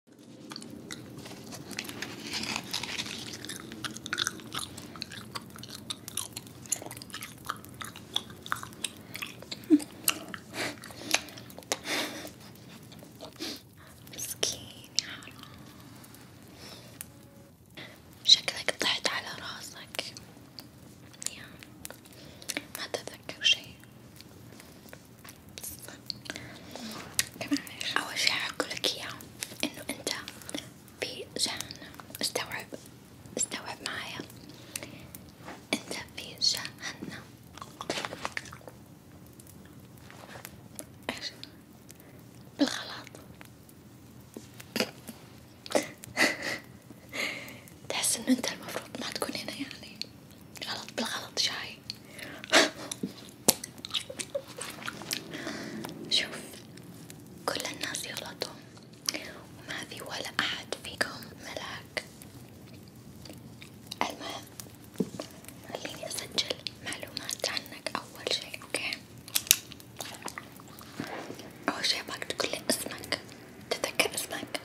مسكين يا حرام شكلك طحت على راسك يا ما تذكر شيء أول شي حقولك إياه إنه أنت في جهنم استوعب استوعب معايا أنت في جهنم إيش بالغلط تحس إنه أنت المفروض ما تكون هنا يعني غلط بالغلط شاي شوف كل الناس يغلطوا وما في ولا أحد فيكم ملاك المهم خليني أسجل معلومات عنك أول شي أوكي أول شي أبغاك تقولي اسمك تتذكر اسمك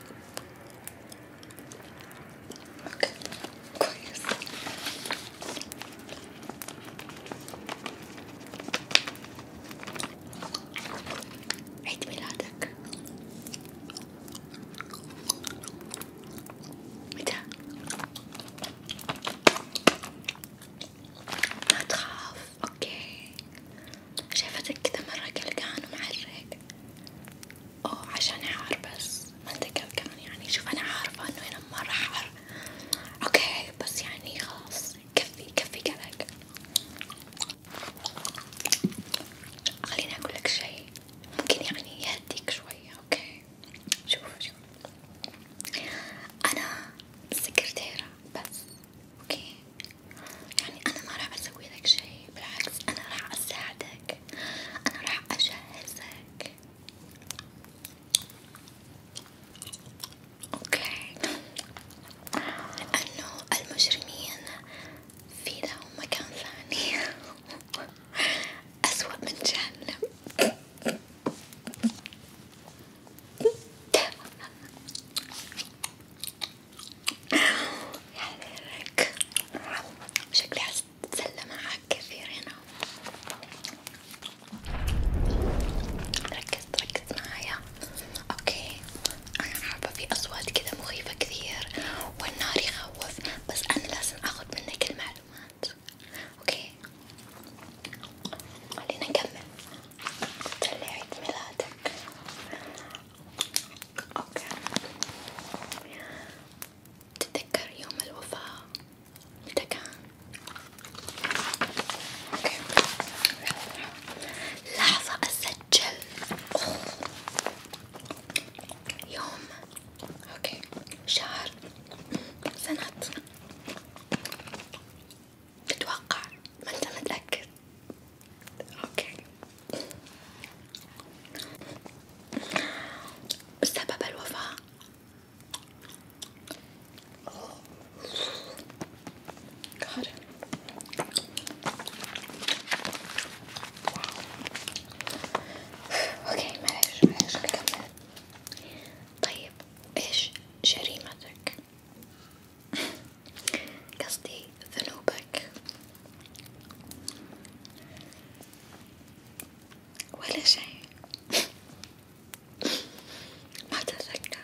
اوكي كويس عيد ميلادك متى؟ ما تخاف، اوكي، شايفتك كذا مرة قلقان ومعرق، أوه عشان حار بس ما أتذكر كان يعني شوف أنا عارفة إنه هنا مرة حار أوكي بس يعني خلاص كفي كفي قلق خليني أقول لك شيء ممكن يعني يهديك شوية أوكي شوف شوف أنا سكرتيرة بس أوكي يعني أنا ما راح أسوي لك شيء بالعكس أنا راح أساعدك أنا راح أجهزك أوكي لأنه المجرمين في لهم مكان ثاني أسوأ من جهنم يا ليلك شكلي حاسة أتسلى معك كثير هنا ركز ركز معايا اوكي انا حابة في اصوات كذا مخيفة كثير والنار يخوف بس انا لازم اخذ منك المعلومات اوكي خلينا نكمل تسلي عيد ميلادك اوكي تتذكر يوم الوفاة متى كان؟ اوكي لحظة اسجل أوه. يوم اوكي شهر سنة اتوقع ما انت متأكد اوكي سبب الوفاة God. اوكي معلش معلش نكمل طيب ايش جريمتك؟ قصدي ذنوبك ولا شيء ما تتذكر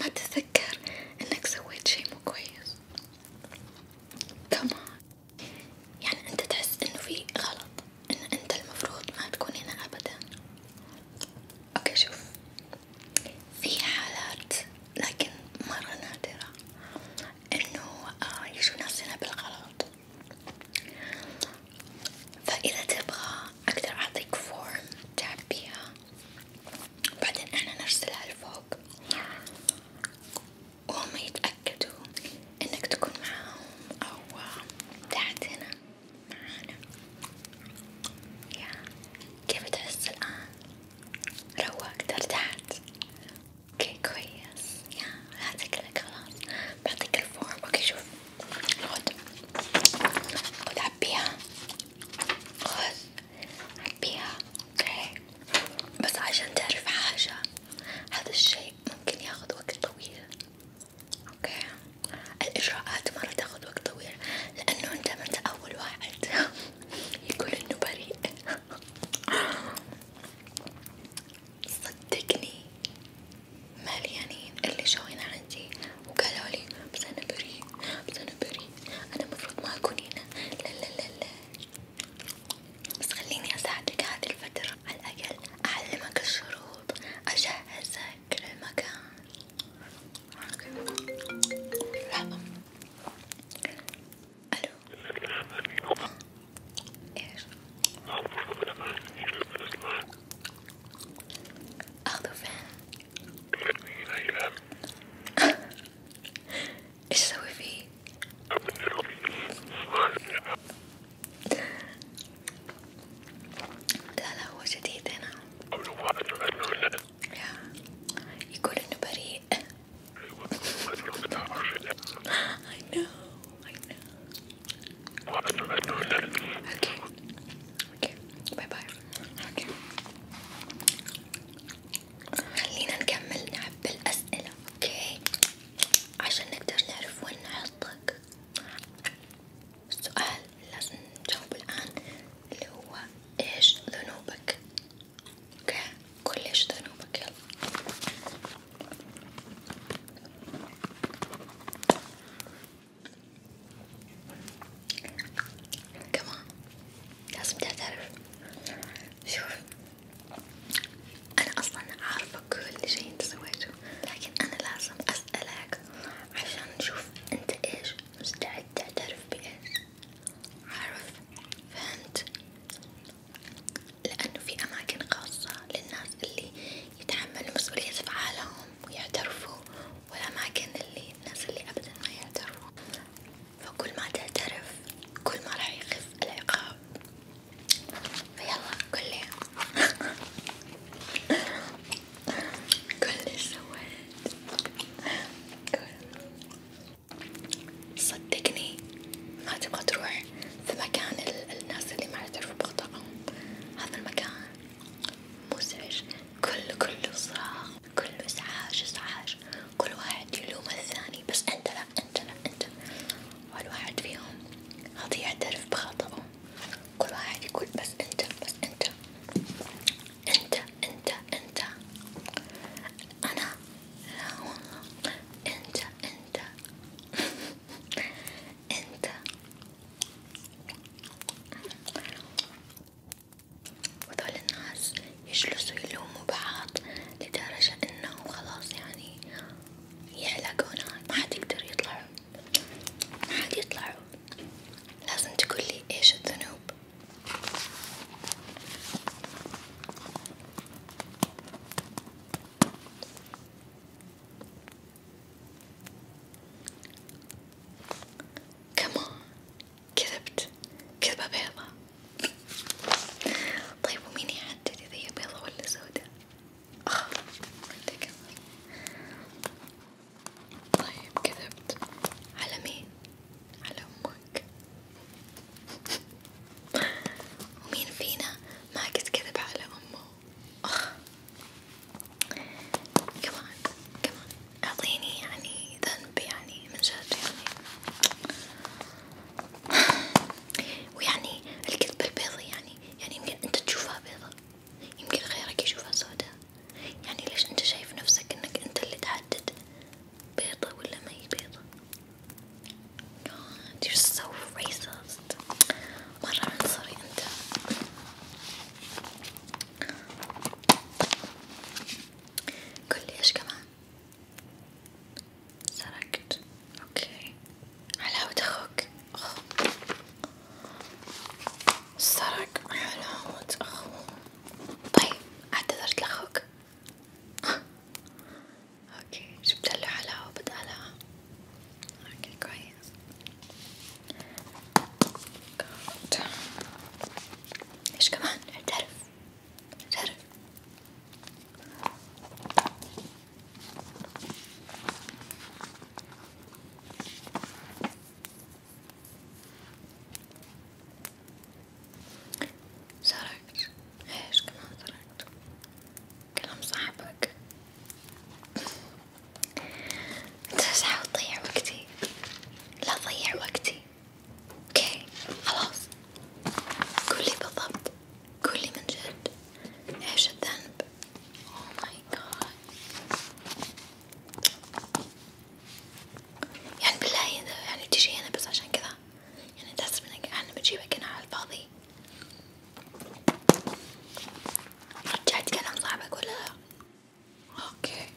ما تتذكر انك سويت شيء مو كويس كمان يعني انت تحس انه في غلط ان انت المفروض ما تكون هنا ابدا اوكي شوف في حالات لكن مرة نادرة إنه آه، يجوا ناسنا بالغلط، فإذا تبغى أقدر أعطيك فورم تعبيها، وبعدين أنا نرسلها لفوق، وهم يتأكدوا إنك تكون معاهم أو تحت هنا معانا، يا كيف تحس الآن؟ روق ترتاحت اوكي كويس يا هذا كله خلاص بعطيك الفورم اوكي شوف خد خد عبيها خذ عبيها اوكي بس عشان تعرف حاجة هذا الشيء ممكن ياخذ وقت طويل اوكي الإجراءات مرة تاخذ وقت طويل لأنه أنت ما أنت أول واحد يقول إنه بريء صدقني مليانين اللي جوين عندي وقالوا لي بس أنا بريء بس أنا بريء أنا المفروض ما أكون هنا لا لا لا لا بس خليني أساعدك هذه الفترة على الأقل أعلمك الشروط أجهزك للمكان لحظة ألو إيش أخذوا فين إيش أسوي فيه لا لا هو جديد هنا يقول إنه بريء I know, I know. Okay. Okay. باي باي. Okay. خلينا نكمل نلعب بالأسئلة، اوكي؟ عشان نقدر نعرف وين نحطك. السؤال اللي لازم نجاوبه الآن اللي هو ايش ذنوبك؟ اوكي كلش ذنوبك يلا كمان لازم تعترف شوف انا اصلا عارفة كل شي انت سويته لكن انا لازم اسألك عشان نشوف انت ايش مستعد تعترف بايش عارف فهمت لأنه في أماكن خاصة للناس اللي يتحملوا مسؤولية أفعالهم ويعترفوا، والأماكن اللي الناس اللي أبدا ما يعترفوا، فكل ما تعترف كل ما راح يخف العقاب، فيلا قولي كل سويت كل صدقني ما تبغى تروح في مكان الناس اللي ما يعترفوا بخطأهم هذا المكان مزعج كله كله صراخ كله ازعاج ازعاج كل واحد يلوم الثاني بس انت لا انت لا انت ولا واحد فيهم راضي يعترف بخطأه كل واحد يقول بس انت بس انت انت انت انت أنا لا والله أنت أنت أنت وذول الناس يجلسوا يلوموا بعض لدرجة إنه خلاص يعني يحلقون ما حد يقدر يطلعوا ما حد يطلعوا لازم تقولي إيش الذنوب كمان كذبت كذبة بيضة طيب ومين يحدد إذا هي بيضة ولا سودة؟ آه طيب كذبت على مين؟ على أمك ومين فينا ما قد كذب على أمه أخ كمان كمان أعطيني يعني ذنب يعني من جد يعني ويعني الكذبة البيضة يعني يعني يمكن أنت تشوفها بيضة يمكن غيرك يشوفها سوداء يعني ليش أنت شايف نفسك أنك أنت اللي تحدد بيضة ولا ما هي بيضة God, you're so racist. مرة عنصري أنت. قل لي إيش كمان؟ سرقت، أوكي، حلاوة أخوك، سرق حلاوة أخوه، طيب اعتذرت لأخوك. اوكي جبت له حلاوة بدالها اوكي كويس جود ايش كمان اعترف اعترف سرقت ايش كمان سرقت كلام صاحبك انت حاول تضيع وقتي لا تضيع وقتي اوكي خلاص قولي بالضبط قولي من جد ايش الذنب اوه ماي جاد يعني بالله يعني تجي هنا بس عشان كذا يعني تحس انك احنا بنجيبك هنا على الفاضي رجعت كلام صاحبك ولا لا؟ اوكي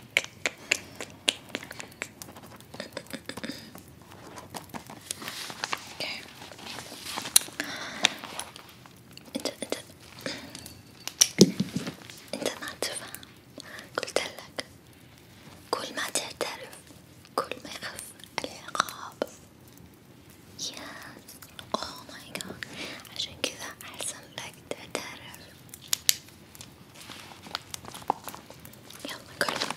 اوكي انت انت انت ما تفهم قلتلك كل ما تعترف كل ما يخف العقاب ياس اوه ماي جاد عشان كذا احسن لك تعترف يلا كلهم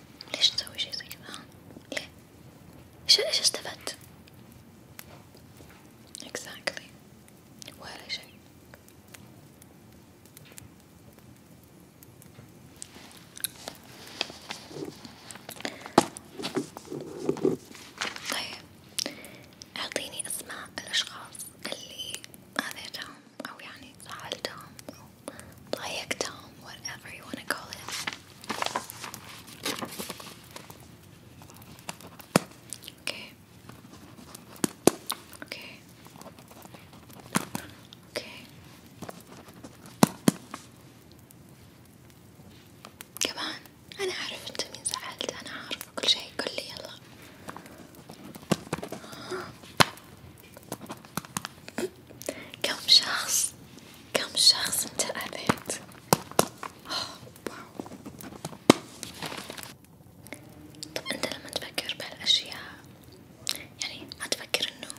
ليش تسوي شي زي كذا؟ ليه؟ إيش إيش استفدت؟ exactly ولا شي طيب أعطيني أسماء الأشخاص اللي أذيتهم أو يعني زعلتهم أو Dayak Dome, whatever you want to call it. Okay. Okay. Okay. كمان أنا أعرف أنت مين زعلت أنا عارفة كل شي قل لي يلا كم شخص كم شخص انت اذيت طب انت لما تفكر بهالاشياء يعني ما تفكر انه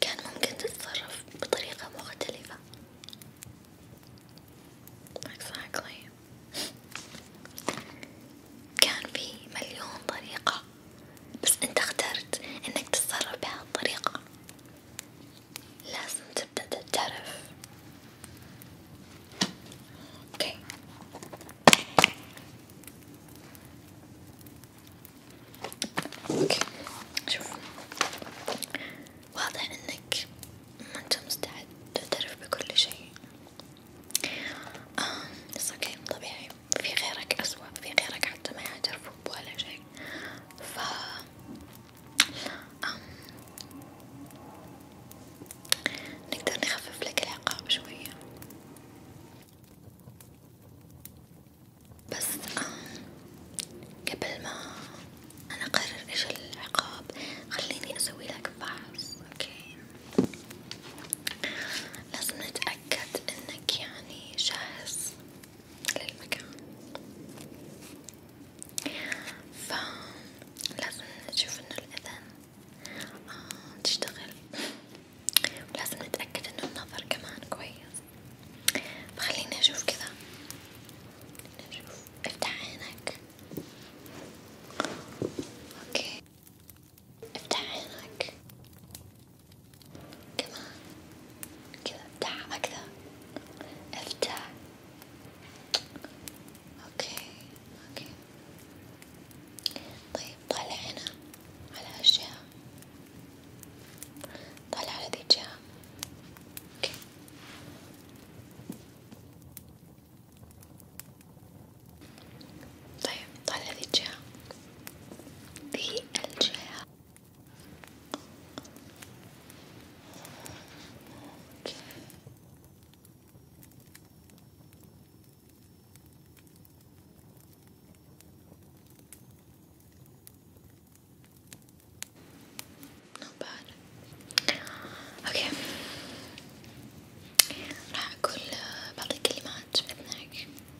كان ممكن تتصرف بطريقة مختلفة exactly كان في مليون طريقة بس انت اخترت انك تتصرف بهالطريقة لازم تبدأ تعرف اوكي اوكي شوف واضح انك ما انت مستعد تعترف بكل شيء آه، اوكي طبيعي في غيرك أسوأ في غيرك حتى ما يعترفوك ولا شيء ف أم... نقدر نخفف لك العقاب شوية بس أم... قبل ما أنا أقرر إيش العقاب خليني أسوي لك فحص أوكي لازم نتأكد تتأكد إنك يعني جاهز للمكان، فلازم نشوف إنه الأذن آه تشتغل، ولازم نتأكد إنه النظر كمان كويس، فخليني أشوف كذا، نشوف افتح عينك، أوكي. افتح عينك كمان كذا افتحها أكثر افتح اوكي اوكي طيب طالع هنا على هالجهة طالع على ذي الجهة اوكي طيب طالع لي الجهة ذي الجهة اوكي not bad اوكي راح اقول بعض الكلمات باذنك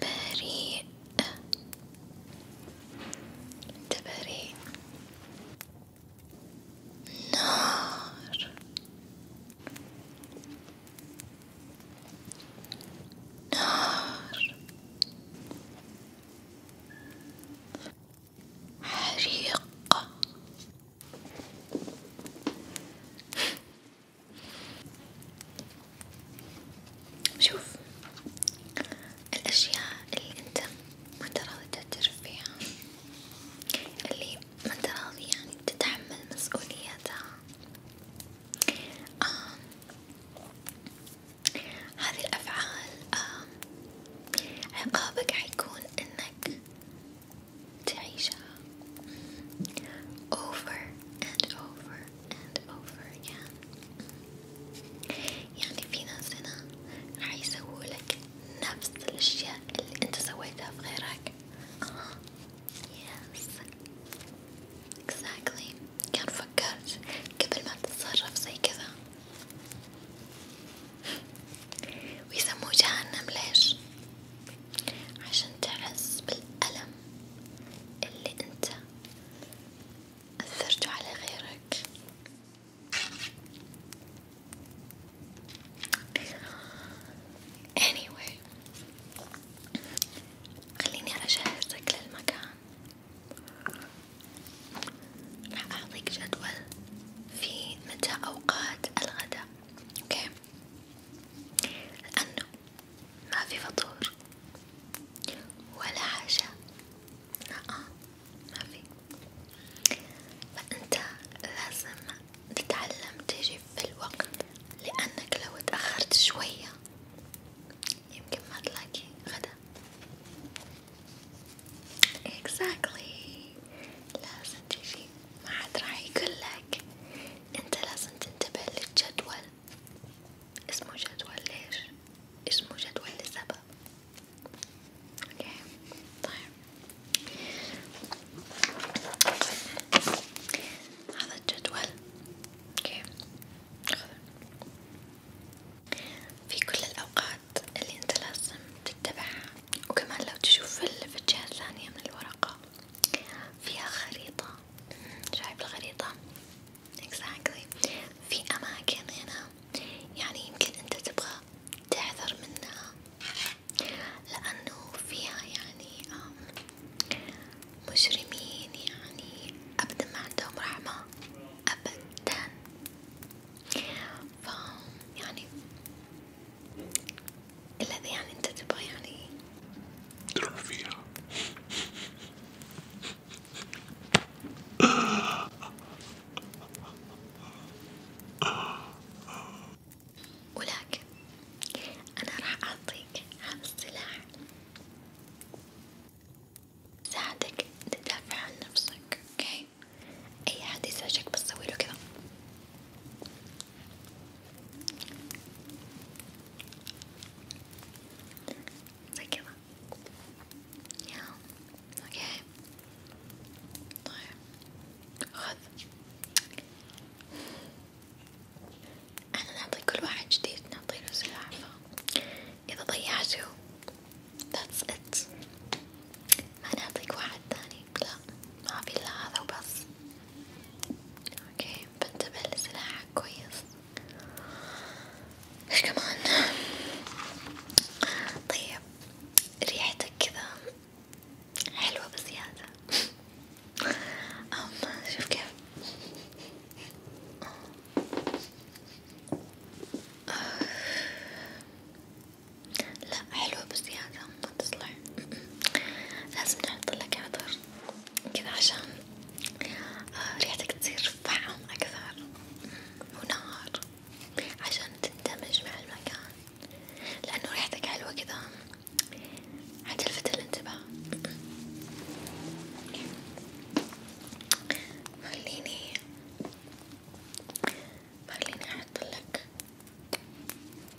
بريء أنت بريء نار نار حريق شوف الأشياء اللي أنت ما أنت راضي تعترف فيها، اللي ما أنت راضي يعني تتحمل مسؤوليتها، آه. هذه الأفعال آه. عقابك حيكون إنك تعيشها over and over and over again يعني في ناس هنا راح يسوولك نفس الأشياء اللي أنت سويتها في غيرك آه yes exactly كان فكرت قبل ما تتصرف زي كذا ويسموه جهنم ليش؟ عشان تحس بالألم اللي أنت أثرته على غيرك anyway خليني أجهزك للمكان راح أعطيك جدول في متى أوقات الغداء اوكي لأنه ما في فطور ولا عشاء نعم، لا ما في فأنت لازم تتعلم تجي في الوقت لأنك لو تأخرت شوية يمكن ما تلاقي غدا exactly لازم تجي ما حد راح يقولك انت لازم تنتبه للجدول اسمه جدول ليش؟ اسمه جدول لسبب اوكي طيب هذا الجدول اوكي في كل الأوقات اللي أنت لازم تتبعها وكمان لو تشوف في الجهة الثانية من الورقة فيها خريطة شايف الخريطة exactly في أماكن هنا يعني يمكن أنت تبغى تحذر منها لأنه فيها يعني مجرمين يعني أبدا ما عندهم رحمة أبدا ف يعني الذي يعني انت تبغى يعني تروح فيها ولكن انا راح اعطيك هذا السلاح ساعدك تدافع عن نفسك اوكي اي حد يزعجك بس سويله كذا زي كده يا اوكي طيب خذ احنا نعطي كل واحد جديد نعطيه نفس العافية اذا ضيعته that's it ما نعطيك واحد ثاني هيك لا ما في الا هذا وبس اوكي بنتبه لسلاحك كويس ايش كمان طيب ريحتك كذا حلوة بزيادة أم شوف كيف لا حلوة بزيادة ما تصلح لازم نحط لك عطر كذا عشان آه، ريحتك تصير فعم أكثر ونار عشان تندمج مع المكان لأنه ريحتك حلوة كذا حتلفت الانتباه خليني خليني أحط لك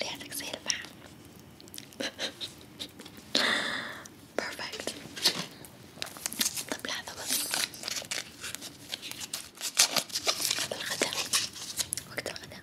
ريحتك زي الفحم بيرفكت طب لحظة بس هذا الغداء وقت الغداء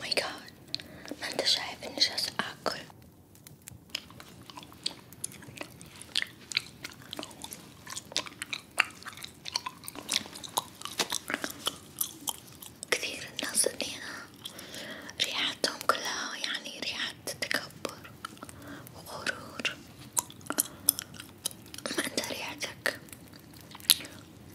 ماي جاد ما انت شايف اني جالسة اكل كثير الناس هنا ريحتهم كلها يعني ريحة تكبر وغرور ما انت ريحتك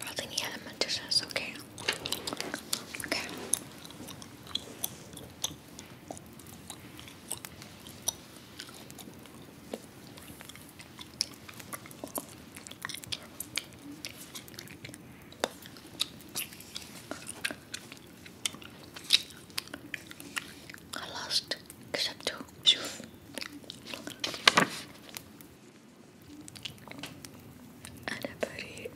Probably the elementals, okay. Okay. I lost except أنا بريء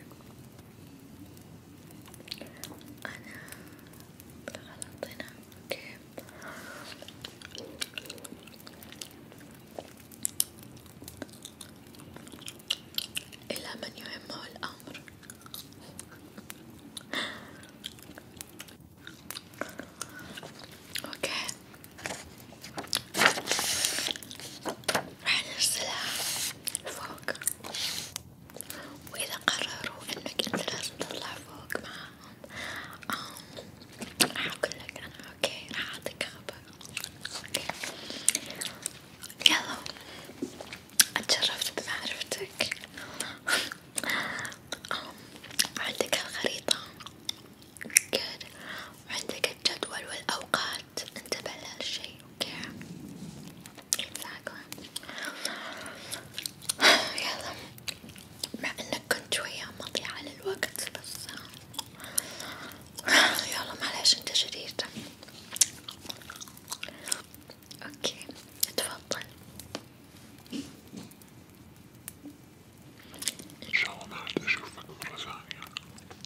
أنا بالغلط هنا أوكي إلى من يهمه الأمر اوكي راح نرسلها فوق وإذا قرروا إنك أنت لازم تطلع فوق معاهم راح أقول لك أنا أوكي راح أعطيك خبر أوكي يلا أتشرفت بمعرفتك عندك الخريطة وعندك الجدول والأوقات الوقت انتبه لهالشي اوكي exactly يلا مع انك كنت شوية مضيعة للوقت بس يلا معلش انت شرير اوكي تفضل ان شاء الله عاد اشوفك مرة ثانية